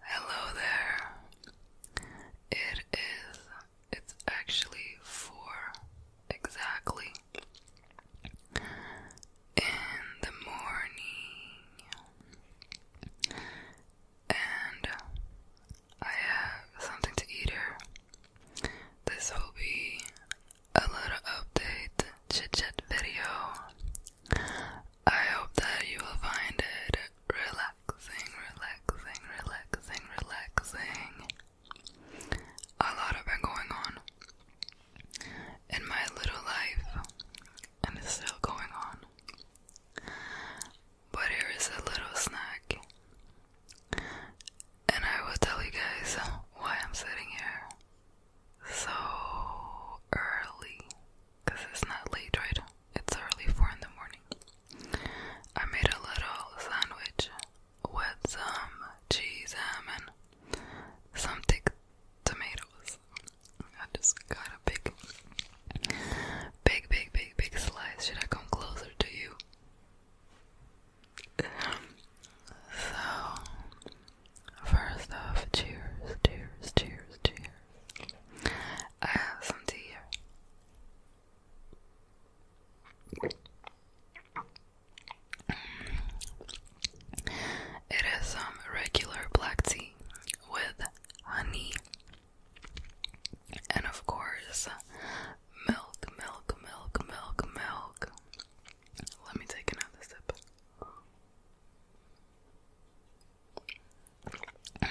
Hello there. It is, it's actually four exactly in the morning, and I have something to eat here. This will be a little update chit video. I hope that you will find it relaxing, relaxing, relaxing, relaxing. A lot have been going on in my little life, and it's still going on. But here is a little snack, and I will tell you guys why I'm sitting here so early because it's not late, right? It's early four in the morning. I made a little sandwich with some cheese, ham, um, and some thick tomatoes. I just got a big, big, big, big, big slice. Should I come closer to you? So, first off, cheers, cheers, cheers, cheers. I have some tea It is some regular black tea with honey and, of course, milk, milk, milk, milk, milk. Let me take another sip. Mm.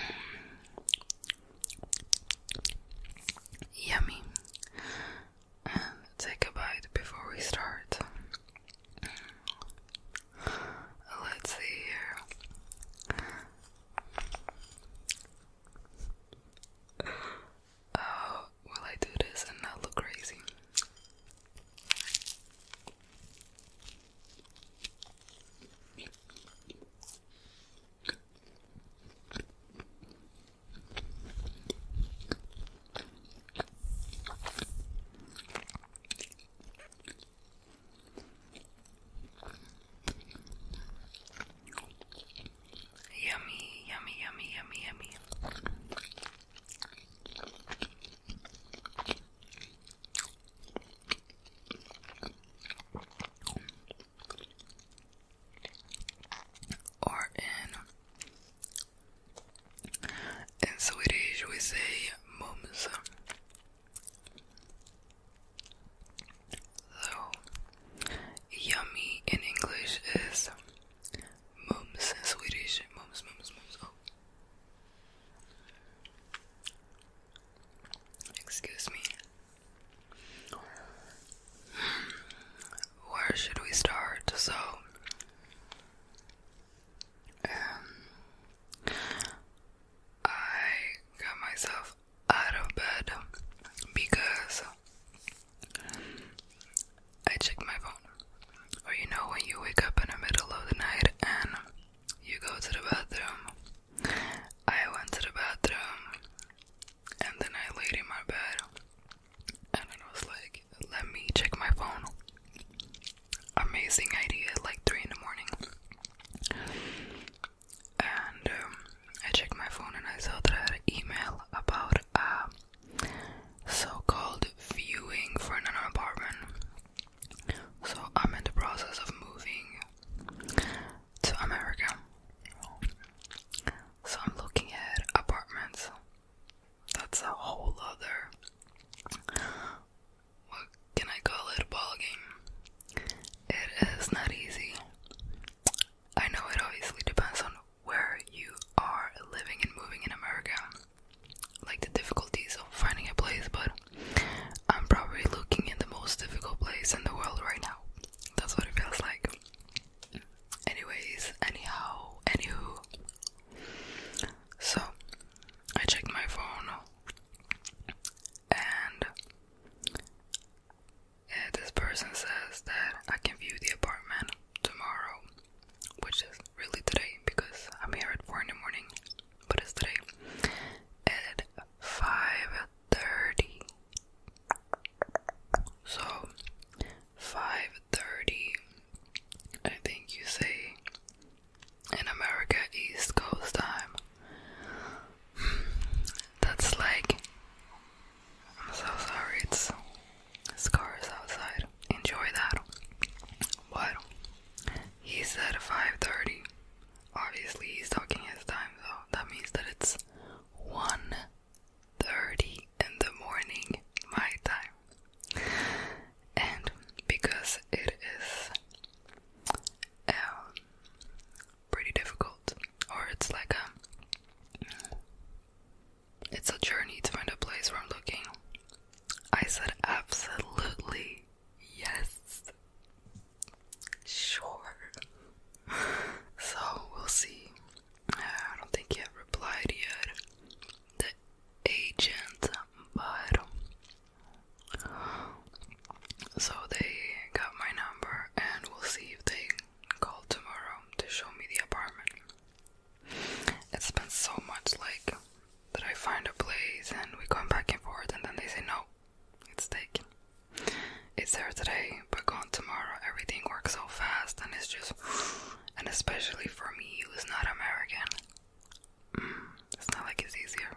Yummy. take a bite before we start. Mm. Let's see here. Oh, will I do this and not look crazy? Yummy, yummy, yummy, yummy, yummy. Or in in Swedish we say mums. So yummy in English is Mums in Swedish. Mums, mums, mums. Oh. Excuse me. Where should we start? So, um, I got myself out of bed because I check my phone. Or you know when you wake up in the middle of the night and you go to the bathroom. I went to the bathroom and then I laid in my bed and I was like, let me check my phone. Amazing idea, like three in the morning. And um, I checked my phone and I saw that I had an email about a uh, so-called viewing for another apartment. So I'm in the process of moving to America. So I'm looking at apartments. That's a whole other what can I call it ball game. It is not easy. I know it obviously depends on where you are living and moving in America, like the difficulties of finding a place, but I'm probably looking in the most difficult place in the world right now. That's what it feels like. Anyways, anyhow, anywho. So, I checked my phone and yeah, this person says that I can view the apartment tomorrow, which is really today because I'm here at 4 in the morning, but it's today at 5:30. So 5:30, I think you say in America East Coast time. That's like I'm so sorry, it's scars outside. Enjoy that. But he said 5:30. Obviously, he's talking his time, so that means that it's 1:30 in the morning, my time. And because it is um, pretty difficult or it's like a it's a journey to find a place where I'm looking. I said absolutely yes. Sure. So we'll see. I don't think he replied yet. The agent, but so they got my number and we'll see if they call tomorrow to show me the apartment. It's been so much like that I find a place and we come back and forth, and then they say, No, it's taken. It's there today, but gone tomorrow. Everything works so fast, and it's just, and especially for me who's not American, mm, it's not like it's easier.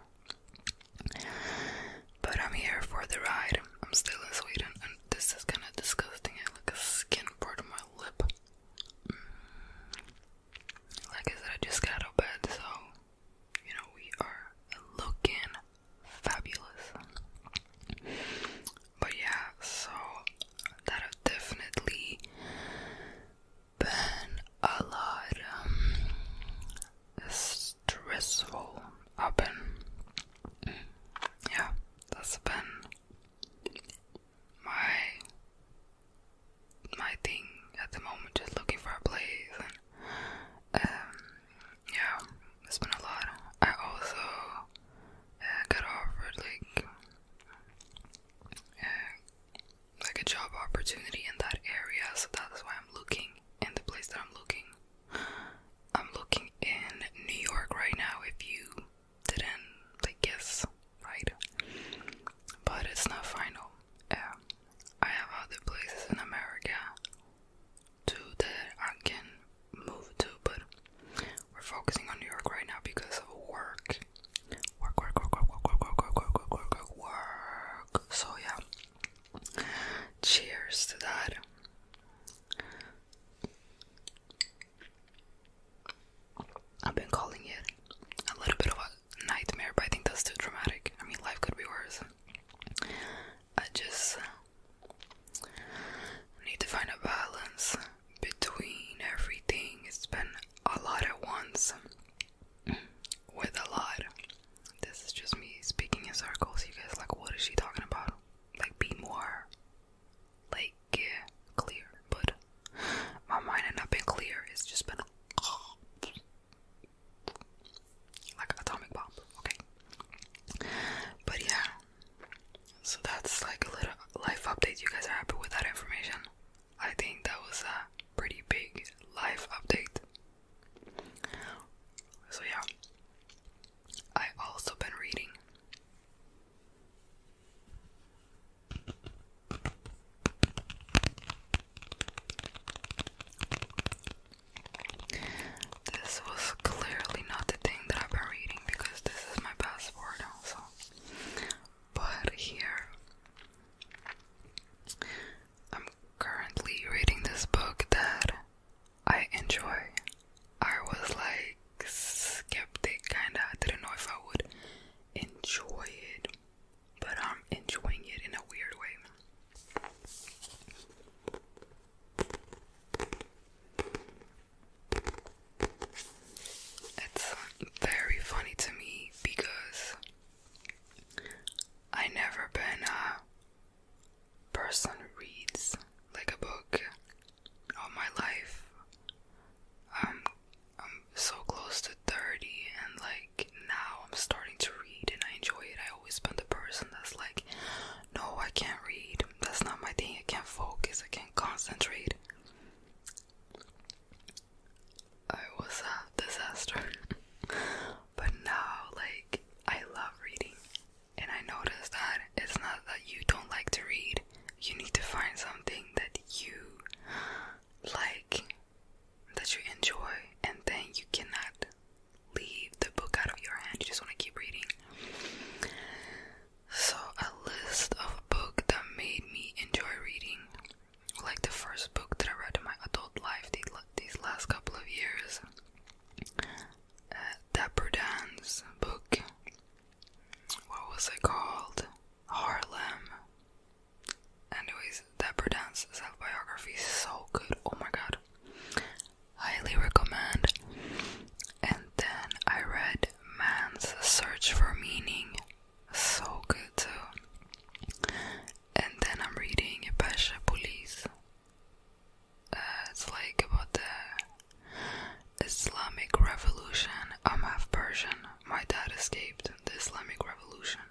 But I'm here for the ride. I'm still in Sweden, and this is kind of disgusting. I like a skin part of my lip. Mm. Like I said, I just got out bed, so you know we are looking fabulous. But yeah, so that have definitely been a lot um, stressful. I've been, mm, yeah, that's been my my thing at the moment, just looking for a place and um, yeah, it's been a lot. I also uh, got offered like uh, like a job opportunity in that area, so that's why I'm looking in the place that I'm looking. I'm looking in New York right now if you didn't like guess right but it's not final yeah I have other places in America too that I can move to but we're focusing on New York right now because of work work work work work work work work work work work work so yeah cheers to that I've been calling it a little bit of a nightmare, but I think that's too dramatic. I mean, life could be worse. I just need to find a balance between everything. It's been a lot at once with a lot. This is just me speaking in circles. You guys, like, what is she talking about? like be more like clear but my mind had not been clear it's just been like atomic bomb okay but yeah so that's like a little life update you guys are happy with that information i think that was a pretty big life update so yeah I also been reading. This was clearly not the thing that I've been reading because this is my passport also. But here I'm currently reading this book that I enjoy. I was like skeptic, kinda. I didn't know if I would enjoy it, but I'm enjoying it in a weird way. It's very funny to me because I never been uh, person reads like a book all my life. Um, I'm so close to 30 and like now I'm starting to read and I enjoy it. I always been the person that's like, no, I can't read. That's not my thing. I can't focus. I can't concentrate. I was a disaster. But now, like, I love reading, and I notice that it's not that you don't like to read, you need to find something that you like, that you enjoy, and then you cannot leave the book out of your hand, you just want to keep reading. So, a list of a book that made me enjoy reading, like the first book that I read in my adult life these last couple of years, uh, Dapper book. What was it called? Harlem. Anyways, Dapper Dan's self biography is so good. Oh my god. Highly recommend. And then I read Man's Search for Meaning. So good too. And then I'm reading Pasha Police it's like about the Islamic Revolution. I'm half Persian. My dad escaped the Islamic Revolution.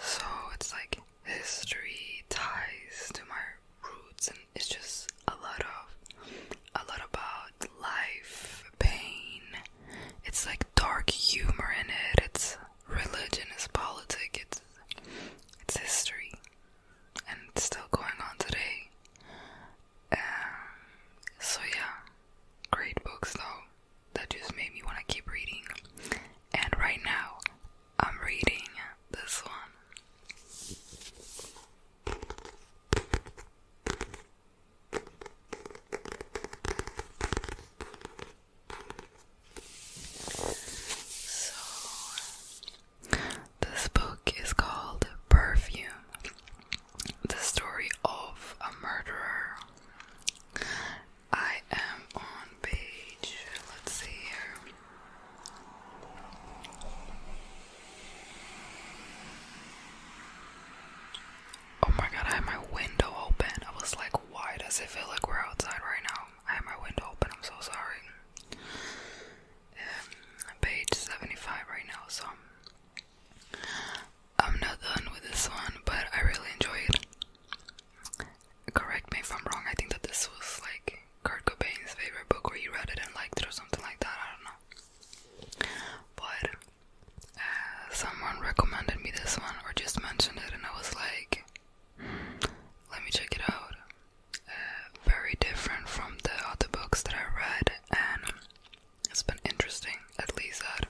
So it's like history ties to my roots and it's just a lot of a lot about life, pain. It's like dark humor in it. It's religion is politics, it's, it's history, and it's still going on today. Um, so, yeah, great books though, that just made me want to keep reading. And right now, I'm reading this one. So, this book is called Perfume The Story of a Murderer. I am on page, let's see here. Oh my god, I have my window open. I was like, why does it feel like we're outside right now? I had my window open, I'm so sorry. Um, I'm page 75 right now, so I'm not done with this one, but I really enjoy it. Correct me if I'm wrong, I think that this was like Kurt Cobain's favorite book, or you read it and liked it, or something like that, I don't know. But uh, someone recommended me this one, or just mentioned it, and I was like, let me check it out. Uh, very different from the other books that I read, and it's been interesting. At least that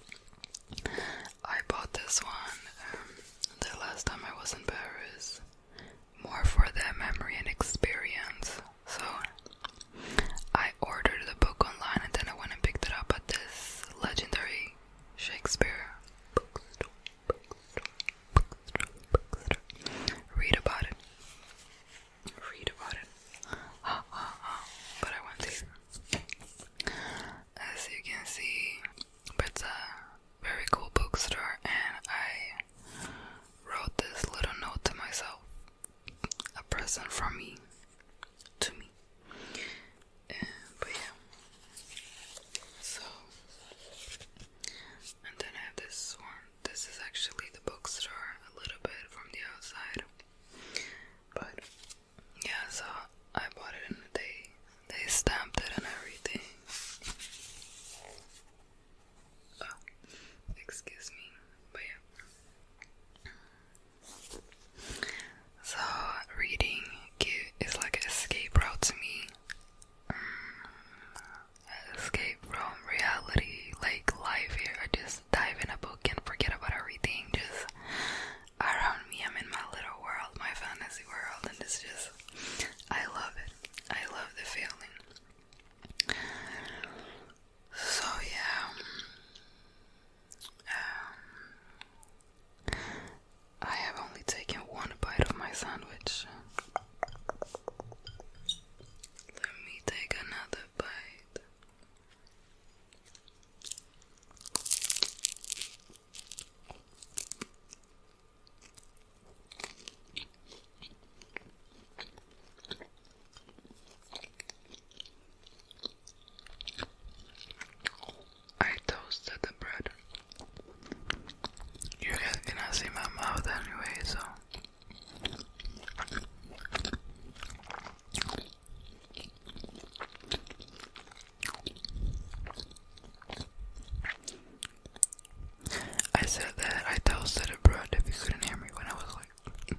I bought this one um, the last time I was in Paris, more for the memory and experience. So I ordered the book online, and then I went and picked it up at this legendary Shakespeare bookstore. Read about it. Read about it. But I want these. As you can see, it's a very cool bookstore, and I wrote this little note to myself. A present from me to me but yeah. So and then I have this one. This is actually the bookstore a little bit from the outside. But yeah, so I bought it and they they stamped it and everything. Oh, excuse me. But yeah. So reading is like an escape route to me. Mm, escape from reality, like life here. I just dive in a book and forget about everything. Just around me, I'm in my little world, my fantasy world, and it's just, I love it. I love the feeling. So yeah, um, I have only taken one bite of my sandwich. Let me take another bite. I toasted the bread. You guys cannot see my mouth anyway, so. I said that I toasted a bread if you couldn't hear me when I was like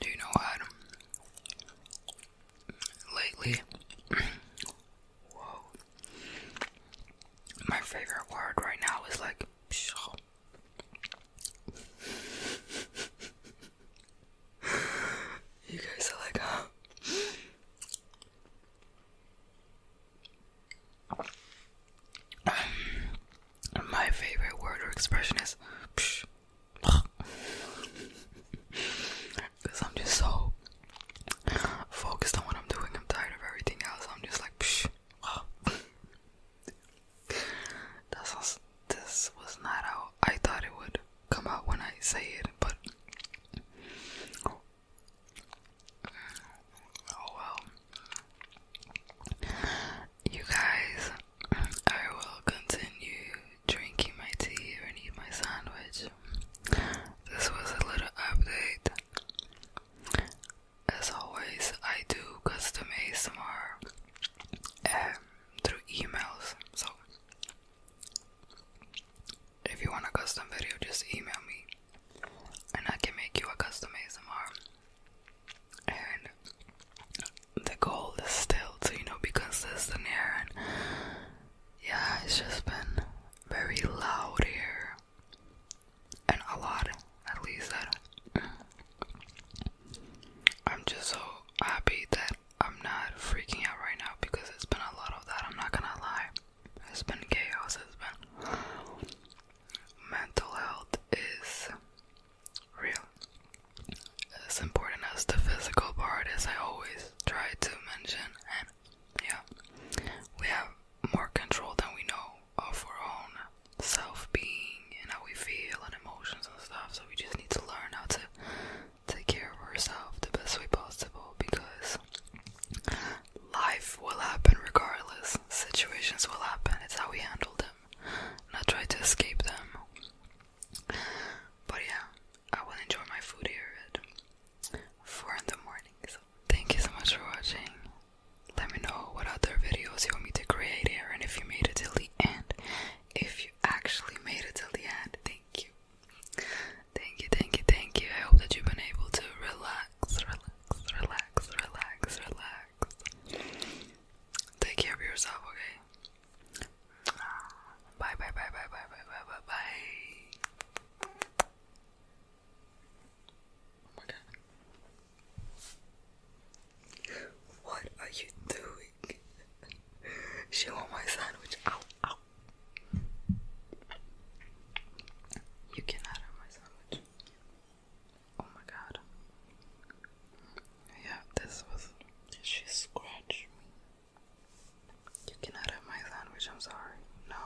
Do you know what? Lately, my favorite word right now is like. you guys are like, huh? My favorite word or expression is psh, because I'm just so focused on what I'm doing. I'm tired of everything else. I'm just like psh. this was not how I thought it would come out when I say it, but Oh well. You guys, I will continue drinking my tea and eat my sandwich. This was a little update. As always, I do custom ASMR um, through emails. So, if you want a custom video, just email me and I can make you a custom ASMR. And the goal is still to, you know, be consistent here. And yeah, it's just been very loud here. And a lot, at least that. I'm just so happy that I'm not freaking out right now because it's been a lot of that. I'm not gonna lie. It's been chaos. It's been mental health is real. As important as the physical part As I always try to mention, and yeah, we have more control than we know of our own self being and how we feel and emotions and stuff. So we just need to learn how to take care of ourselves the best way possible because life will happen regardless. Situations will happen. It's how we handle them, not try to escape them. But yeah, I will enjoy my food here four in the morning. So thank you so much for watching. Let me know what other videos you want me to create here, and if you made it till the end. If you actually made it till the end, thank you Thank you, thank you, thank you. I hope that you've been able to relax, relax, relax, relax, relax. Take care of yourself, okay? Bye, bye, bye, bye, bye, bye, bye, bye, bye. Oh what are you doing? She want my sandwich. You cannot have my sandwich. Oh my god. Yeah, this was. She scratched me. You cannot have my sandwich, I'm sorry. No.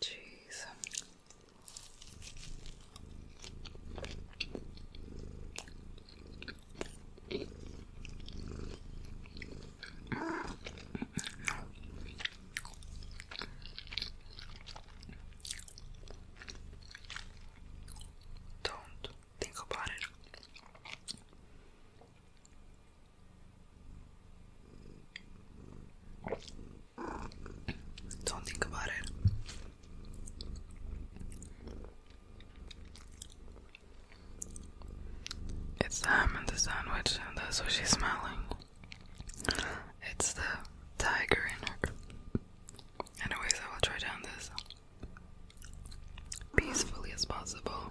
Jeez. Don't think about it. Don't think about it. It's ham in the sandwich, and that's what she's smelling. It's the tiger in her. Anyways, I will try down this peacefully as possible.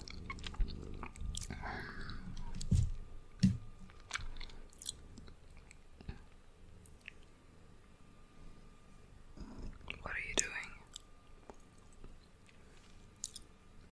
What are you doing?